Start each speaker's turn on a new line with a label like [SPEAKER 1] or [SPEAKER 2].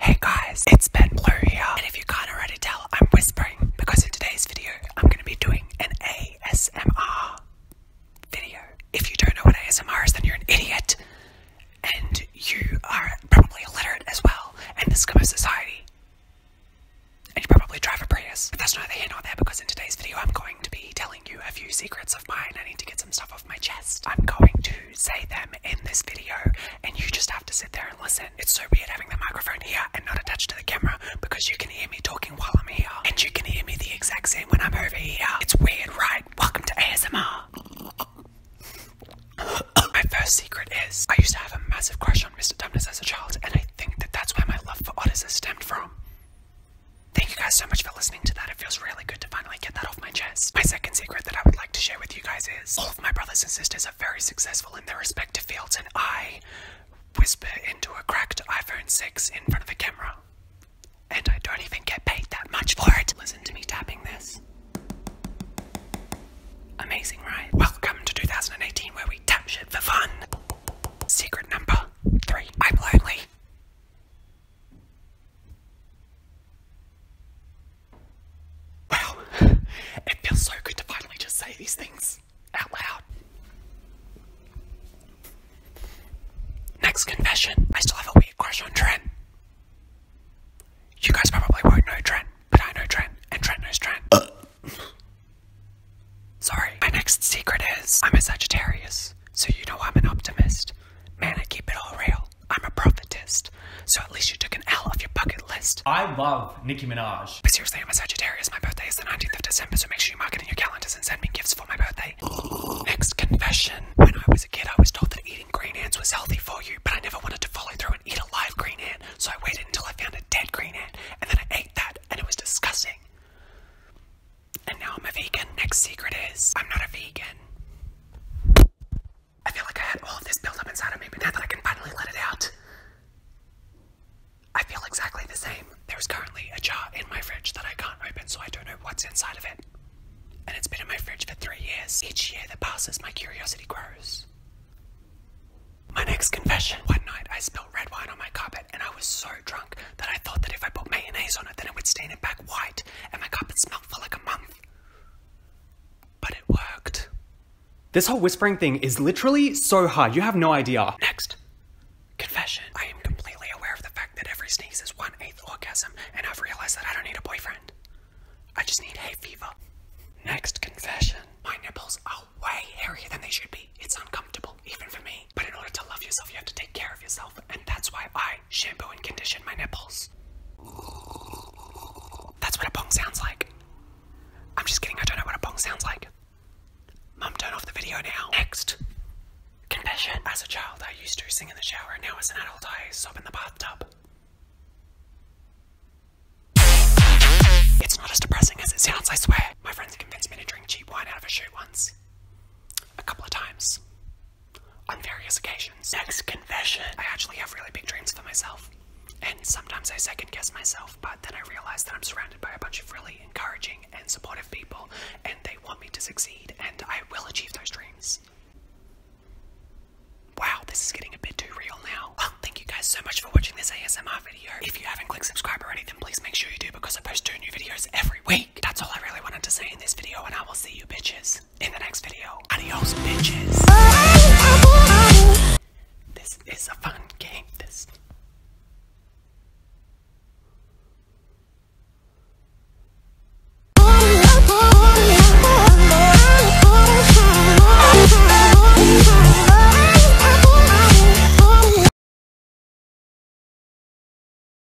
[SPEAKER 1] Hey guys, it's Ben Blue here, and if you can't already tell, I'm whispering because in today's video, I'm going to be doing an ASMR video. If you don't know what ASMR is, then you're an idiot, and you are probably illiterate as well, and this kind of society, and you probably drive a Prius. But that's neither here nor there because in today's video, I'm going to be telling you a few secrets of mine. I need to get some stuff off my chest. I'm going to say them in this video, and you just have to sit there and listen. It's so weird having the microphone here and not attached to the camera because you can hear me talking while I'm here, and you can hear me the exact same when I'm over here. It's weird, right? Welcome to ASMR. my first secret is I used to have a massive crush on Mr. Dumbness as a child, and I think that that's where my love for Otis has stemmed from. Thank you guys so much for listening to that. It feels really good to finally get that off my chest. My second secret that I would like to share with you guys is all of my brothers and sisters are very successful in their respective fields, and I whisper into a cracked iPhone 6 in front of a camera. And I don't even get paid that much for it. Listen to me tapping this. Amazing, right? Welcome to 2018 where we tap shit for fun. Secret number three. I'm Wow, it feels so good to finally just say these things out loud. Next confession I still have a weird crush on Trent. You guys probably won't know Trent, but I know Trent, and Trent knows Trent. Sorry. My next secret is I'm a Sagittarius, so you know I'm an optimist. Man, I keep it all real. I'm a prophetist. So at least you took an L off your bucket list. I love Nicki Minaj. But seriously, I'm a Sagittarius. My birthday is the 19th of December, so make sure you mark it in your calendars and send me gifts for my birthday. Next confession. When I was a kid, I was told that eating green ants was healthy for you, but I never wanted to follow through and eat a live green ant, so I waited until I found a dead green ant, and then I ate that, and it was disgusting. And now I'm a vegan. Next secret is I'm not a vegan. I feel like I had all of this built up inside of me, but now that I can finally let it out, I feel exactly the same. There's currently a jar in my fridge that I can't open, so I don't know what's inside of it. And it's been in my fridge for three years. Each year that passes, my curiosity grows. My next confession. One night, I spilled red wine on my carpet, and I was so drunk that I thought that if I put mayonnaise on it, then it would stain it back white, and my carpet smelled for like a month. But it worked. This whole whispering thing is literally so hard, you have no idea. Next, confession. I am completely aware of the fact that every sneeze is one eighth orgasm, and I've realized that I don't need a boyfriend. I just need hay fever. Next confession. My nipples are way hairier than they should be. It's uncomfortable, even for me. But in order to love yourself, you have to take care of yourself, and that's why I shampoo and condition my nipples. That's what a bong sounds like. I'm just kidding, I don't know what a bong sounds like. Mum, turn off the video now. Next. Confession. As a child, I used to sing in the shower, now as an adult, I sob in the bathtub. It's not as depressing as it sounds, I swear. My friends convinced me to drink cheap wine out of a chute once. A couple of times on various occasions. Next confession. I actually have really big dreams for myself. And sometimes I second guess myself, but then I realize that I'm surrounded by a bunch of really encouraging and supportive people, and they want me to succeed, and I will achieve those dreams. Wow, this is getting a bit too real now. Well, oh, thank you guys so much for watching this ASMR video. If you haven't clicked subscribe already, then please make sure you do because I post two new videos every week. That's all I really wanted to say in this video, and I will see you bitches in the next video. Adios, bitches. This is a fun game. This.